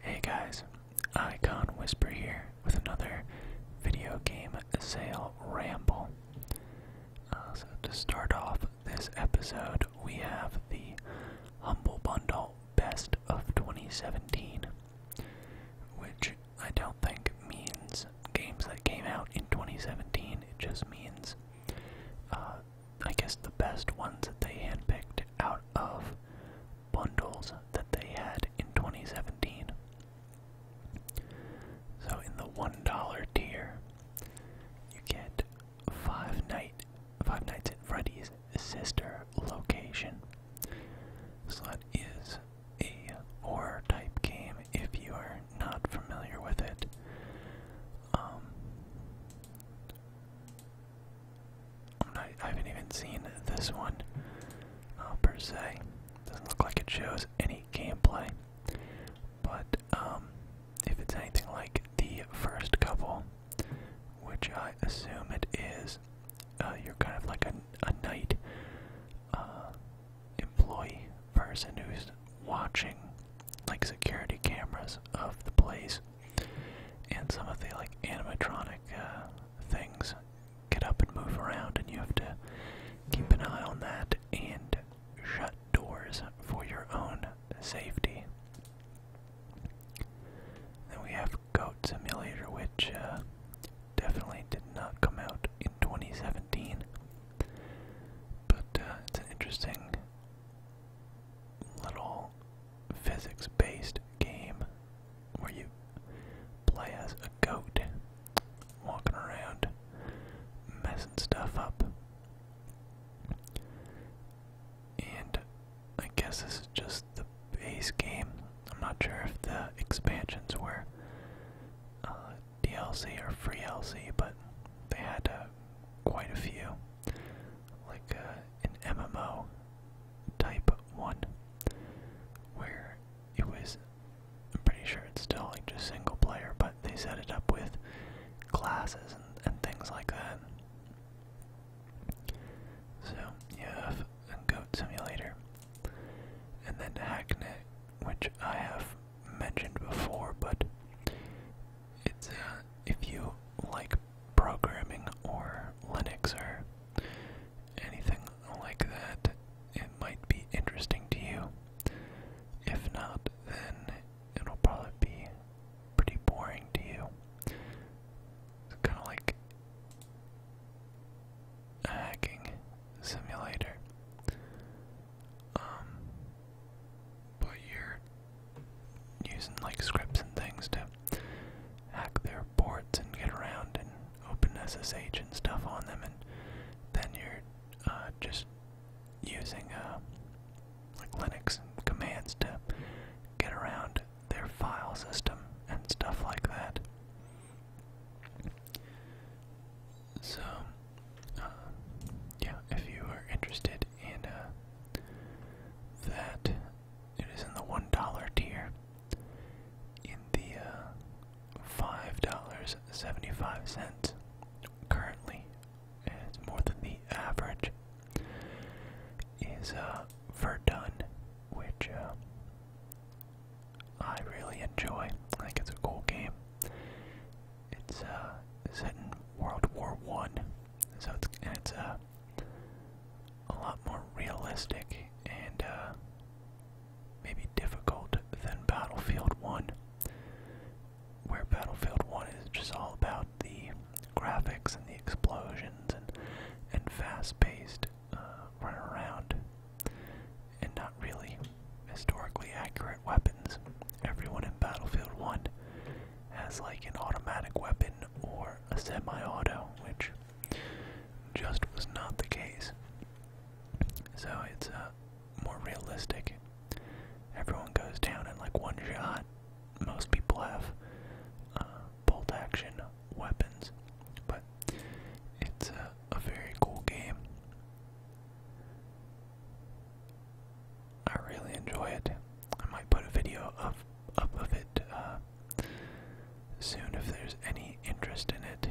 Hey guys, Icon Whisper here with another video game sale ramble. Uh, so to start off this episode, we have the Humble Bundle Best of 2017, which I don't think means games that came out in 2017. It just means uh, I guess, the best ones that they handpicked out of bundles that they had in 2017. So, in the $1 tier, you get Five, Night, Five Nights at Freddy's Sister Location. Slot is a horror type game if you are not familiar with it. Um, i haven't even seen this one uh, per se. Doesn't look like it shows any gameplay, but um, if it's anything like the first couple, which I assume it is, uh, you're kind of like a, a night uh, employee person who's watching like security cameras of the place and some of the like animatronic uh, things get up and move around, and you have to keep an eye on that and shut doors for your own safety. Then we have Goat Simulator, which uh, definitely did not come out in 2017, but uh, it's interesting little physics based game where you play as a goat walking around messing stuff up. And I guess this is just the base game. I'm not sure if the expansions were uh, DLC or free LC, but they had uh, quite a few like uh, an MMO type one, where it was. I'm pretty sure it's still like just single player, but they set it up with classes and, things like that. So you have a Goat Simulator, and then Hacknet, which I have mentioned before, but it's uh, if you like programming or Linux or anything like that, it might be interesting to you. If not, then it'll probably be pretty boring to you. kind of like hacking simulator. Um, but you're using like scripts and things to hack their ports and get around and open SSH and stuff on them, and then you're uh, just using uh, like Linux commands to get around their file system and stuff like that. So, uh, yeah, if you are interested and in uh, that. It is in the one dollar tier. In the uh, five dollars seventy five cents currently, it's more than the average. Is uh, Verdun, which uh, I really enjoy. I think it's a cool game. It's uh, set in World War One, so it's and it's uh, a lot more realistic and uh, maybe difficult than Battlefield One, where Battlefield One is just all about the graphics and the explosions and and fast-paced uh, run around and not really historically accurate weapons. Everyone in Battlefield 1 has like an automatic weapon or a semi-auto, which just was not the case. So it's uh, more realistic. Everyone goes down in like one shot. Most people have uh, bolt action weapons, but it's uh, a very cool game. I really enjoy it. I might put a video of up of it uh, soon if there's any interest in it.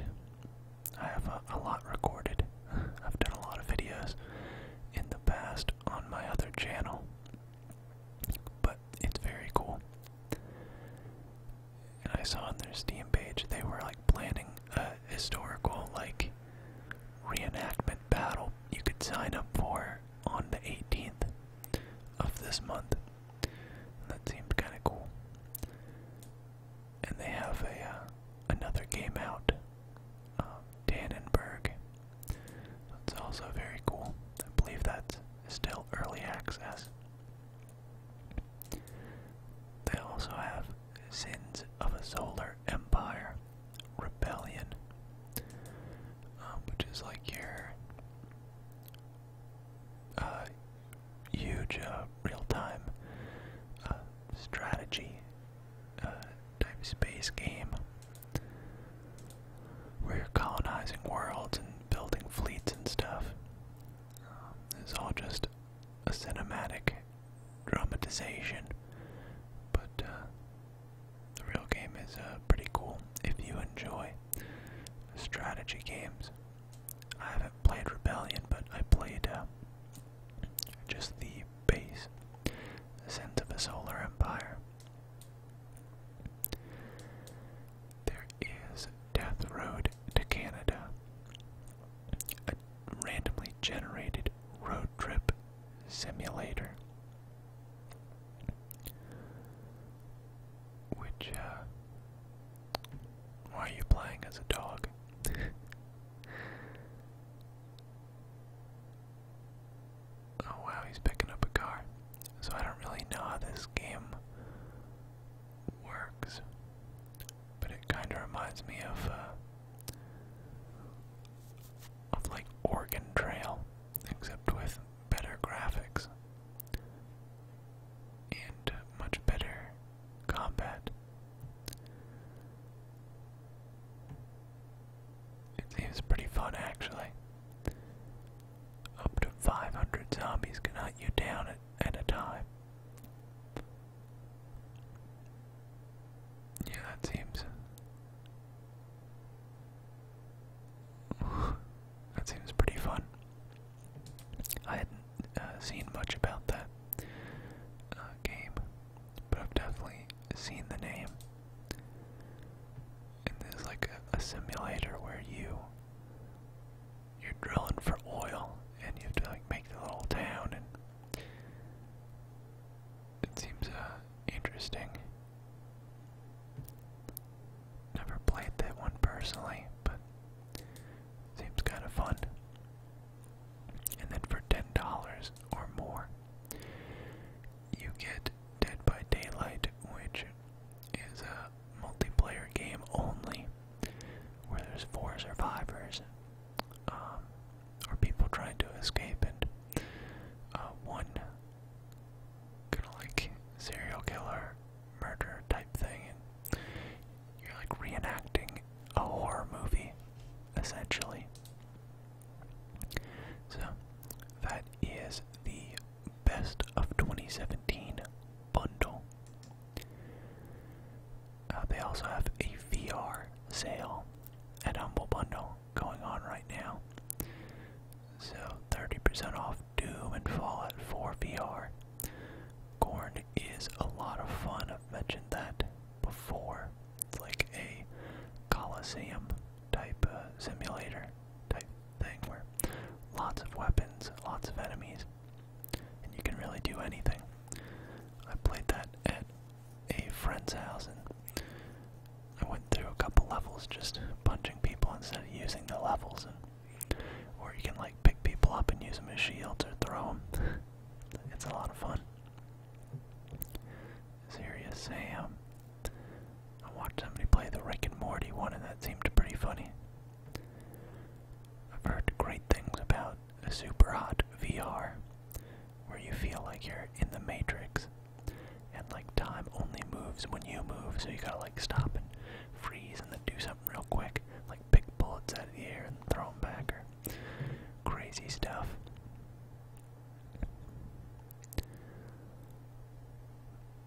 I have a lot recorded. I've done a lot of videos in the past on my other channel, but it's very cool. And I saw on their Steam page they were like planning a historical like reenactment battle you could sign up for on the 18th of this month. That seemed kind of cool. And they have a uh, another game out, uh, Dannenberg. That's also very cool. I believe that's still early access. They also have Sins of a Solar Empire rebellion, um, which is like your uh, huge uh, real-time uh, strategy type space game where you're colonizing worlds and building fleets and stuff. Um, it's all just a cinematic dramatization, but the real game is uh, pretty cool if you enjoy strategy games. I haven't played Rebellion, but I played uh, just the base, Ascent of a Solar Empire. There is Death Road to Canada, a randomly generated road trip simulator, which, uh, why are you playing as a dog? oh wow, he's picking up a car. So I don't really know how this game works, but it kind of reminds me of uh, of like Oregon Trail, except with better graphics and much better combat. It seems pretty fun actually. Up to 500 zombies can hunt you down at, at a time. Yeah, that seems. that seems pretty fun. I hadn't uh, seen much about that uh, game, but I've definitely seen the name. And there's like a, a simulator where you you're drilling for oil, and you have to like make the little town and it seems uh, interesting. Never played that one personally, but seems kind of fun. And then for ten dollars or more, you get Dead by Daylight, which is a multiplayer game only, where there's four survivors um, or people trying to escape, and uh, one kind of like serial killer murder type thing, and you're like reenacting a horror movie, essentially. So that is the best of 2017 bundle. Uh, they also have a VR sale at Humble Bundle going on right now. So 30% off Doom and Fallout 4 VR. Gorn is a lot of fun. I've mentioned that before. It's like a Coliseum type uh, simulator type thing where lots of weapons, lots of enemies, and you can really do anything. I played that at a friend's house and I went through a couple levels just punching people instead of using the levels and or you can like pick people up and use them as shields or throw them. it's a lot of fun. Serious Sam. Um, I watched somebody play the Rick and Morty one and that seemed pretty funny. I've heard great things about a super hot VR where you feel like you're in the matrix and like time only moves when you move so you gotta like stop and freeze and then do something real quick like pick bullets out of the air and throw them back or crazy stuff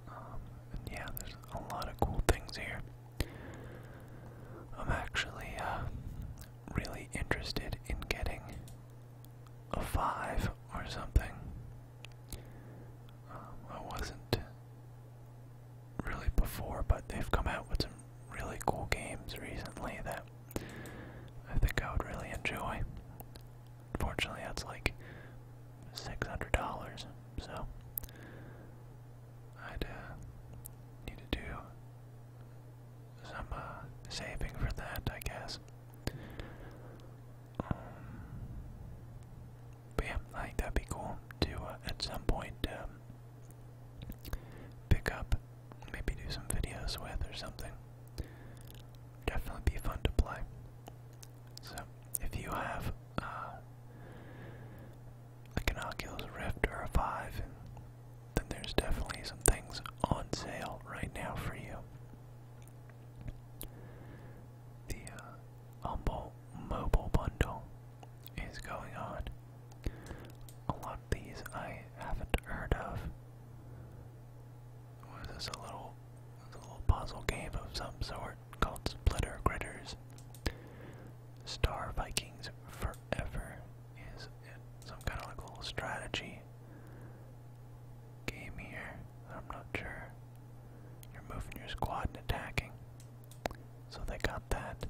um, yeah there's a lot of cool things here i'm actually uh, really interested in getting a 5 or something. Um, I wasn't really before, but they've come out with some really cool games recently that I think I would really enjoy. Unfortunately, that's like $600, so I'd uh, need to do some uh, saving for that, I guess. Um, but yeah, I think that'd be cool to uh, at some point um, pick up, maybe do some videos with or something. Definitely be fun to play. So, if you have uh, like an Oculus Rift or a Vive, then there's definitely some things on sale right now for you. The uh, Humble Mobile Bundle is going on. A lot of these I haven't heard of. Was this a little, a little puzzle game of some sort called Splitter Gritters? Star Vikings Forever is some kind of like little strategy game here. I'm not sure. You're moving your squad and attacking. So they got that.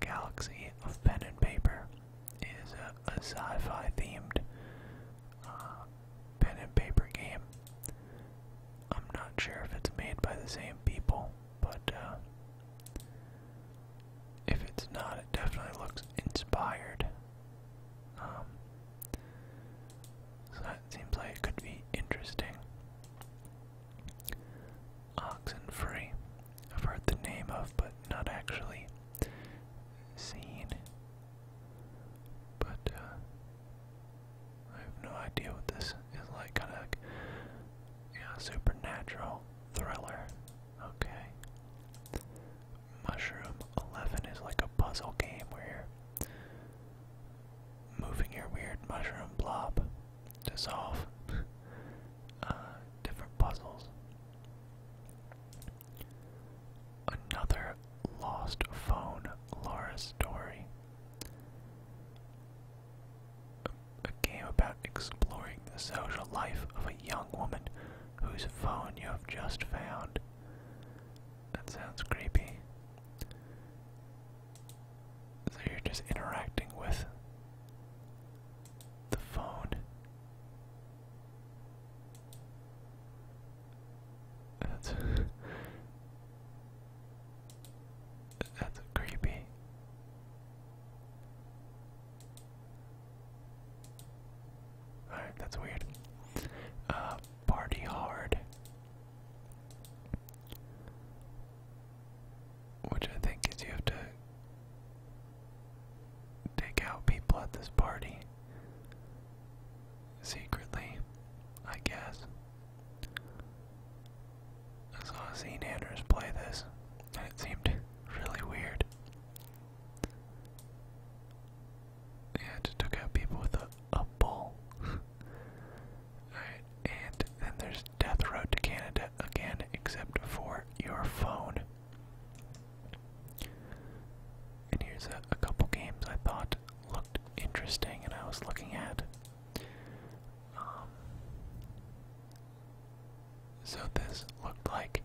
Galaxy of Pen and Paper is a, sci-fi themed uh, pen and paper game. I'm not sure if it's made by the same people, but uh, if it's not, it definitely looks inspired. Um, so that seems like it could be interesting. Oxen I've heard the name of, but not actually seen. But uh, I have no idea what this is like. Kind of, supernatural thriller. Okay. Mushroom 11 is like a puzzle game where you're moving your weird mushroom blob to solve uh, different puzzles. Another lost phone, Laura's story a game about exploring the social life of a young woman whose phone you have just found. That sounds creepy. So you're just interacting with the phone. That's that's creepy. Alright, that's weird. Uh, party hard. Which I think is you have to take out people at this party. Secretly, I guess. I saw Zane Anders play this, and it seemed really weird. Yeah, it took out people with a, a bull. and then there's Death Road to Canada again, except for your phone. And here's a, couple games I thought looked interesting and I was looking at. Um, so this looked like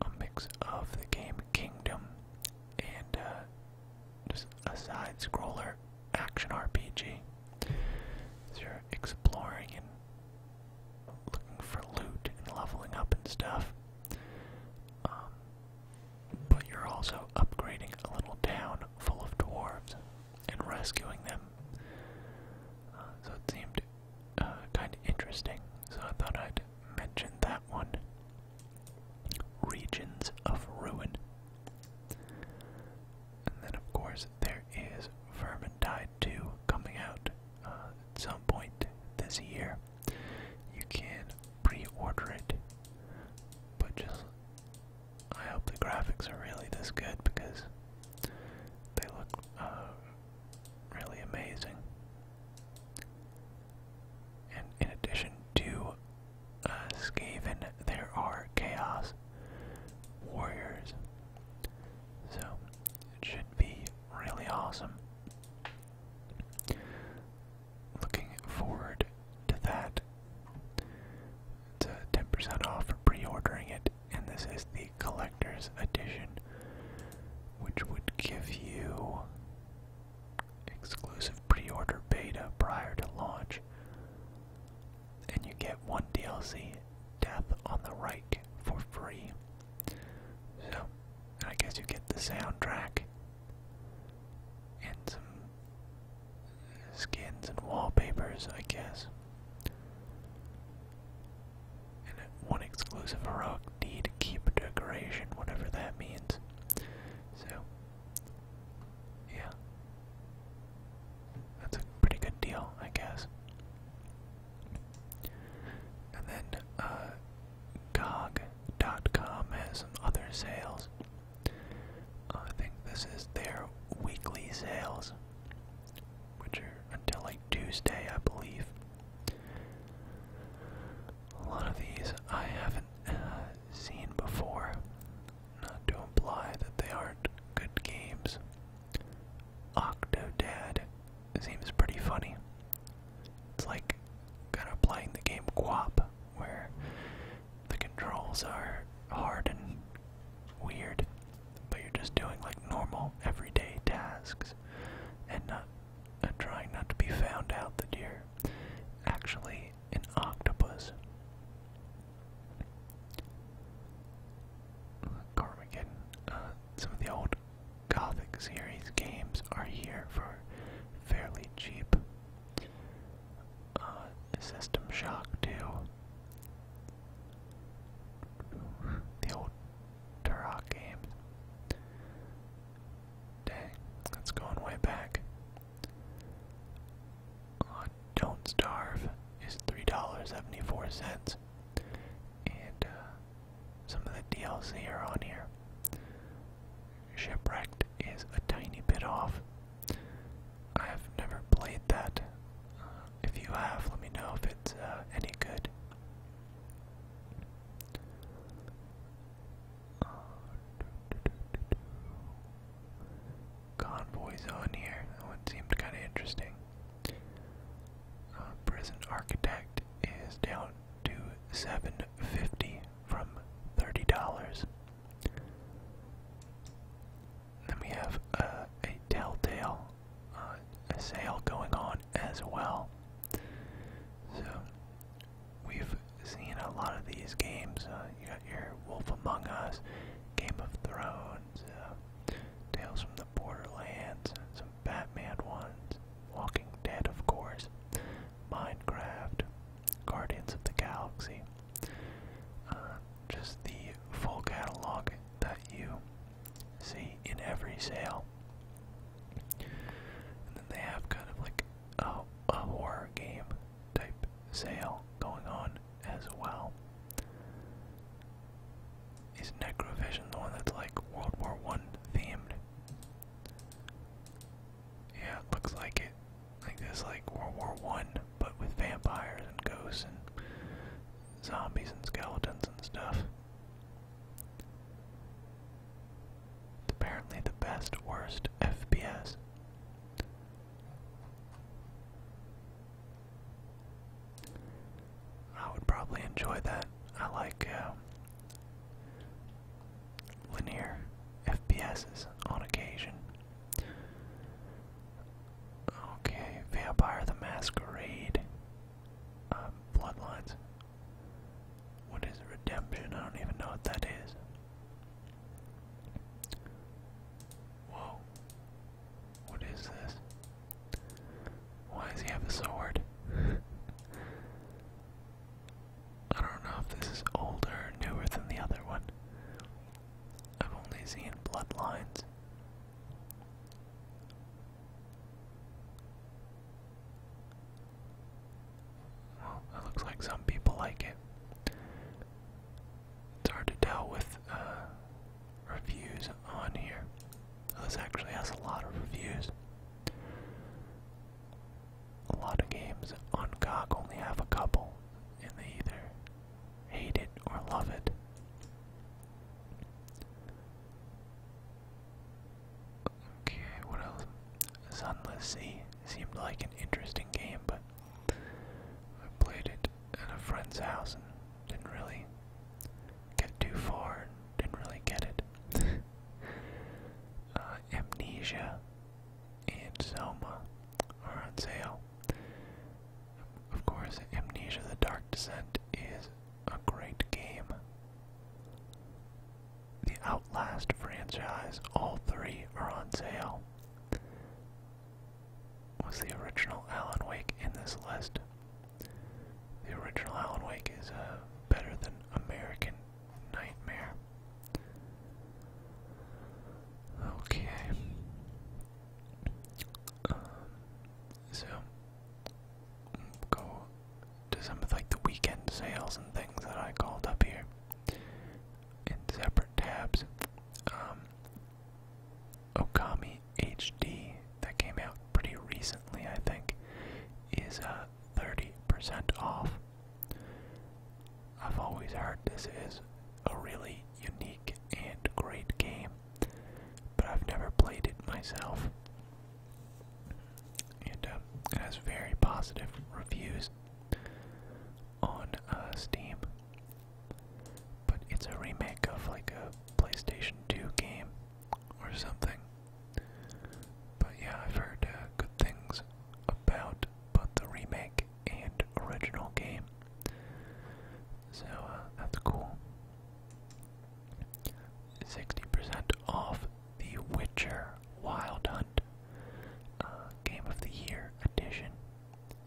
a mix of the game Kingdom and uh, just a side scroller action RPG. So you're exploring and looking for loot and leveling up and stuff. Um, but you're also upgrading a little town full of dwarves and rescuing them so it seemed uh, kind of interesting, so I thought I'd mention that one. Regions of Ruin. And then, of course, there is Vermintide 2 coming out uh, at some point this year. You can pre order it, but just. I hope the graphics are really this good because they look uh, really amazing. And in addition to uh, Skaven, there are Chaos Warriors. So, it should be really awesome. Looking forward to that. It's 10% off for pre-ordering it, and this is the collector's edition, which would give you exclusive pre-order beta prior to launch, and you get one DLC, Death on the Reich, for free. So, I guess you get the soundtrack and some skins and wallpapers, I guess. And one exclusive heroic deed, keep decoration, whatever that means. So, yeah. That's a pretty good deal, I guess. And then, uh, com has some other sales. Uh, I think this is their weekly sales which are until like Tuesday, I believe. A lot of these I haven't uh, seen before, not to imply that they aren't good games. Octo Octodad seems pretty funny. It's like kind of playing the game Quap, where the controls are hard and weird, but you're just doing like normal everyday tasks and not trying not to be found out that you're actually an octopus. Carmageddon, uh, some of the old Gothic series games are here for fairly cheap. Uh, System Shock 2 the old Turok games. Dang, that's going way back. Don't Starve is $3.74. And uh, some of the DLC are on here. Shipwrecked is a tiny bit off. I have never played that. Uh, if you have, let me know if it's uh, any good. Uh, convoys on here. That one seemed kind of interesting. prison architect is down to seven fifty from thirty dollars. Then we have uh, a telltale uh, a sale going on as well. So we've seen a lot of these games. Uh, you got your Wolf Among Us, Game of Thrones, uh, Tales from the Borderlands, some Batman ones, Walking Dead, of course, Minecraft, Guardians of the Galaxy. Uh, just the full catalog that you see in every sale. And then they have kind of like a, a horror game type sale going on as well. Is Necrovision the one that's like World War One themed? Yeah, looks like it. Like this, like World War One but with vampires and ghosts and zombies and skeletons and stuff. It's apparently the best, worst FPS. I would probably enjoy that. I like um, linear FPSs on occasion. Okay, Vampire the Masquerade. Um, Bloodlines. What is Redemption? I don't even know what that is. Whoa. What is this? Why does he have a sword? I don't know if this is older newer than the other one. I've only seen bloodlines. Well, it looks like some people like it. It's hard to tell with uh, reviews on here. This actually has a lot of reviews. A lot of games on GOG only have a couple, and they either hate it or love it. Okay, what else? Sunless Sea seemed like an interesting game, but I played it at a friend's house and didn't really get too far, didn't really get it. Uh, Amnesia and Soma are on sale. Of course, Amnesia the Dark Descent is a great game. The Outlast franchise, all three are on sale. Was the original Alan Wake in this list? The original Alan Wake is better than American Nightmare. Okay. Um, so go to some of like the weekend sales and things that I called up here in separate tabs. Um, Okami HD that came out pretty recently, I think, is uh, 30% off. I've always heard this is a really unique and great game, but I've never played it myself. And um, it has very positive reviews on uh, Steam. But it's a remake of like a PlayStation 2 game or something. But yeah, I've heard uh, good things about both the remake and original game. So uh, that's cool. 60% off The Witcher Wild Hunt uh, Game of the Year edition.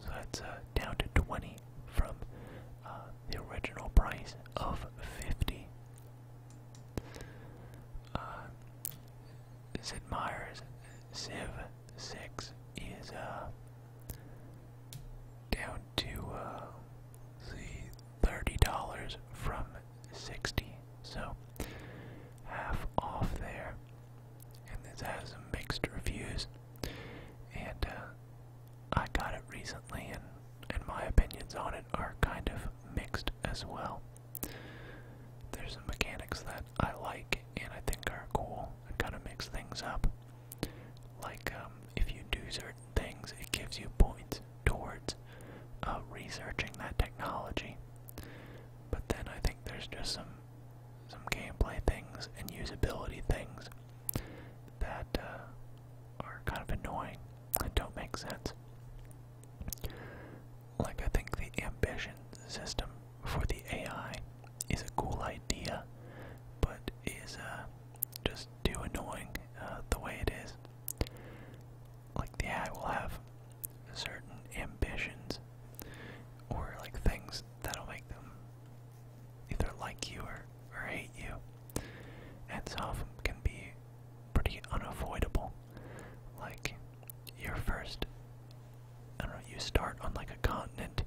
So that's uh, down to 20 from uh, the original price of 50. Sid Meier's Civ six is uh down to uh thirty dollars from sixty, so half off there. And this has some mixed reviews. And uh, I got it recently and and my opinions on it are kind of mixed as well. There's some mechanics that I like and I think are cool and kind of mix things up. Like, um, if you do certain things, it gives you points towards uh, researching that technology. But then I think there's just some some gameplay things and usability things that uh, are kind of annoying and don't make sense. Like I think the ambition system for the AI is a cool idea, but is uh, just too annoying uh, the way it is. Like the AI will have certain ambitions or like things that'll make them either like you or, or hate you, and some of them can be pretty unavoidable. Like your first, I don't know, you start on like a continent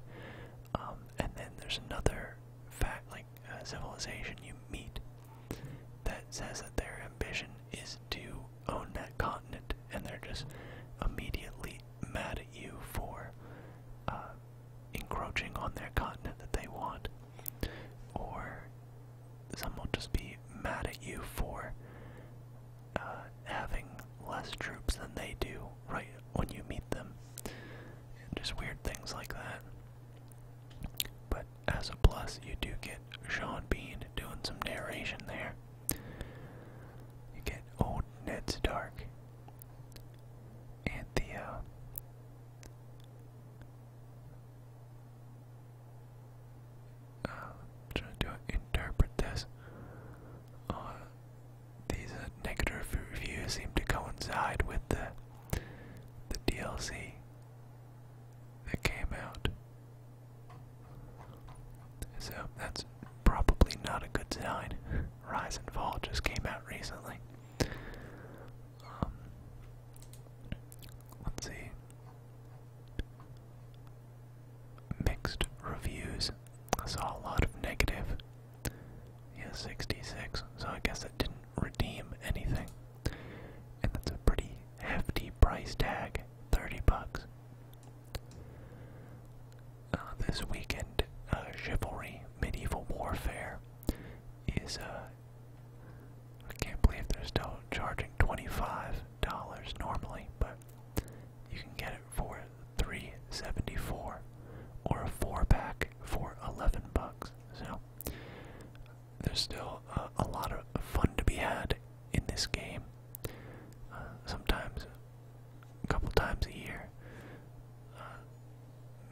um, and then there's another fact, like uh, civilization you meet, that says that their ambition is to own that continent, and they're just immediately mad at you for uh, encroaching on their continent that they want, or some will just be mad at you for uh, having less troops than they do right when you meet them. just weird things like that. But as a plus, you do get Sean Bean doing some narration there. You get old Ned Stark. And the, uh, uh, trying to interpret this these uh, negative reviews seem to coincide with the the DLC that came out. So that's probably not a good sign. Rise and Fall just came out recently. Um, let's see mixed reviews. I saw a lot of negative. Yeah, 66. So I guess it didn't redeem anything. And that's a pretty hefty price tag, 30 bucks. Uh, this weekend, uh, Chivalry Medieval Warfare is, uh, I can't believe they're still charging $25 normally, but you can get it for three seventy four, dollars or a four pack for 11 bucks. So there's still uh, a lot of fun to be had in this game. Uh, sometimes, a couple times a year, uh,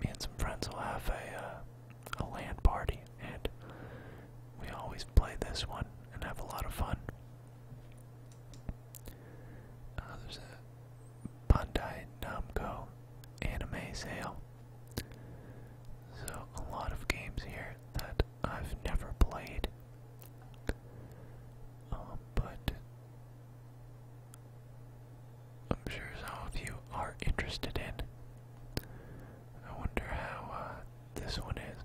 me and some friends will have a a land party, and we always play this one and have a lot of fun. Uh, there's a Bandai Namco anime sale. So, a lot of games here that I've never played. Um, but I'm sure some of you are interested in. I wonder how uh, this one is.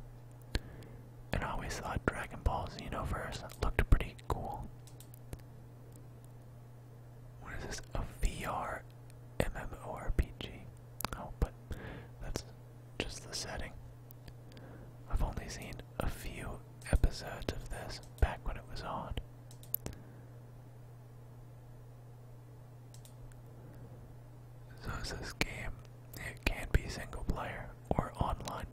And I always thought Dragon Ball Xenoverse looked pretty cool. What is this? A VR MMORPG. Oh, but that's just the setting. I've only seen a few episodes of this back when it was on. So is this game? It can be single player or online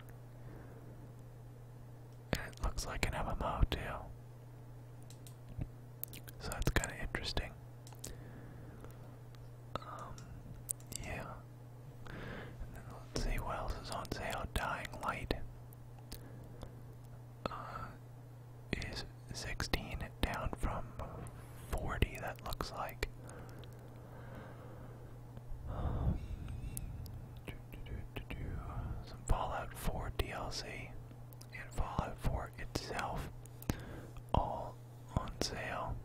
it looks like an MMO too. So that's kind of interesting. Um, yeah. let's see what else is on sale. Dying Light uh, is 16 down from 40, that looks like. Um, do, do, Some Fallout 4 DLC and Fallout 4 itself, all on sale.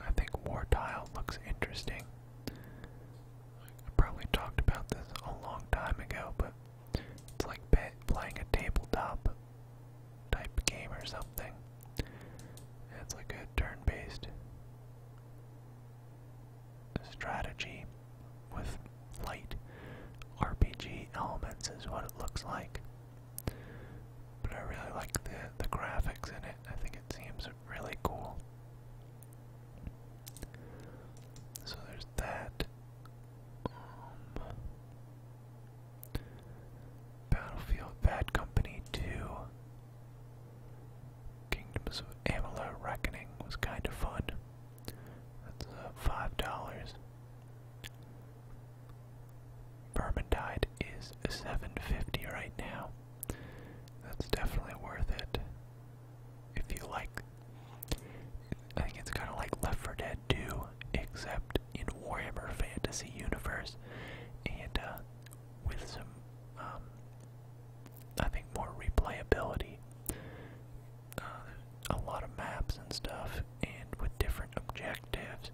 I think War Tile looks interesting. I probably talked about this a long time ago, but it's like playing a tabletop type game or something. It's like a turn-based strategy with light RPG elements is what it looks like. But I really like the the graphics in it. I think it seems really cool. So there's that. Um, Battlefield Bad Company 2. Kingdoms of Amalur Reckoning was kind of fun. That's uh, five dollars. Bermendide is seven fifty right now. That's definitely worth it if you like. I think it's kind of like Left 4 Dead 2, except in Warhammer Fantasy Universe, and uh, with some, um, I think, more replayability. Uh, a lot of maps and stuff, and with different objectives,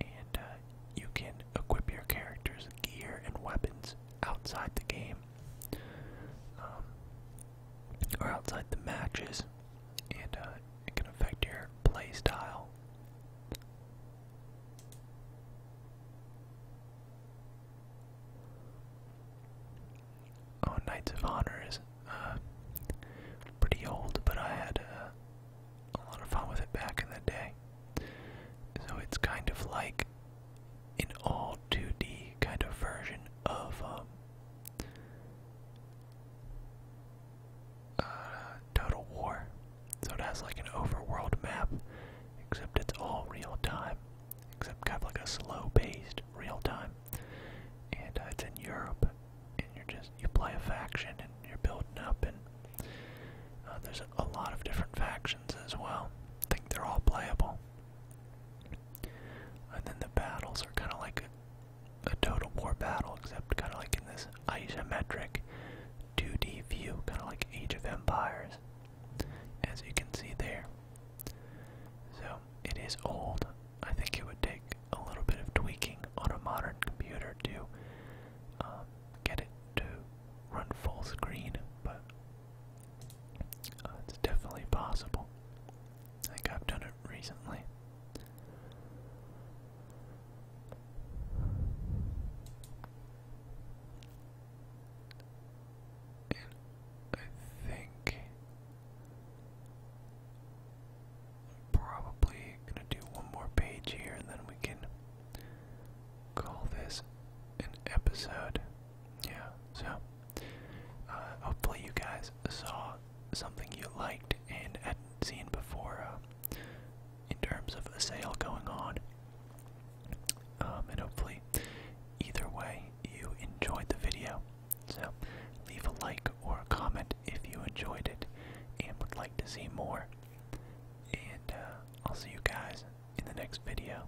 and uh, you can equip your character's gear and weapons outside the game. Um, or outside the matches, and uh, it can affect your play style. Oh, Knights of Honor is uh, pretty old, but I had uh, a lot of fun with it back in the day. So it's kind of like an all 2D kind of version of um, uh, Total War. So it has like an overworld map, except it's all real time, except kind of like a slow paced real time. And uh, it's in Europe, and you're just, you play a faction and you're building up, and uh, there's a lot of different factions as well. think they're all playable. And then the battles are kind of like a, total war battle, except kind of like in this isometric 2D view, kind of like Age of Empires, as you can see there. So it is old. I think it would take a little bit of tweaking on a modern computer to um, get it to run full screen, but uh, it's definitely possible. I think I've done it recently. I think I'm probably gonna do one more page here and then we can call this an episode yeah, so uh, hopefully you guys saw something you liked and hadn't seen before uh, in terms of a sale going on. Um, and hopefully, either way, you enjoyed the video. So, leave a like or a comment if you enjoyed it and would like to see more. And uh, I'll see you guys in the next video.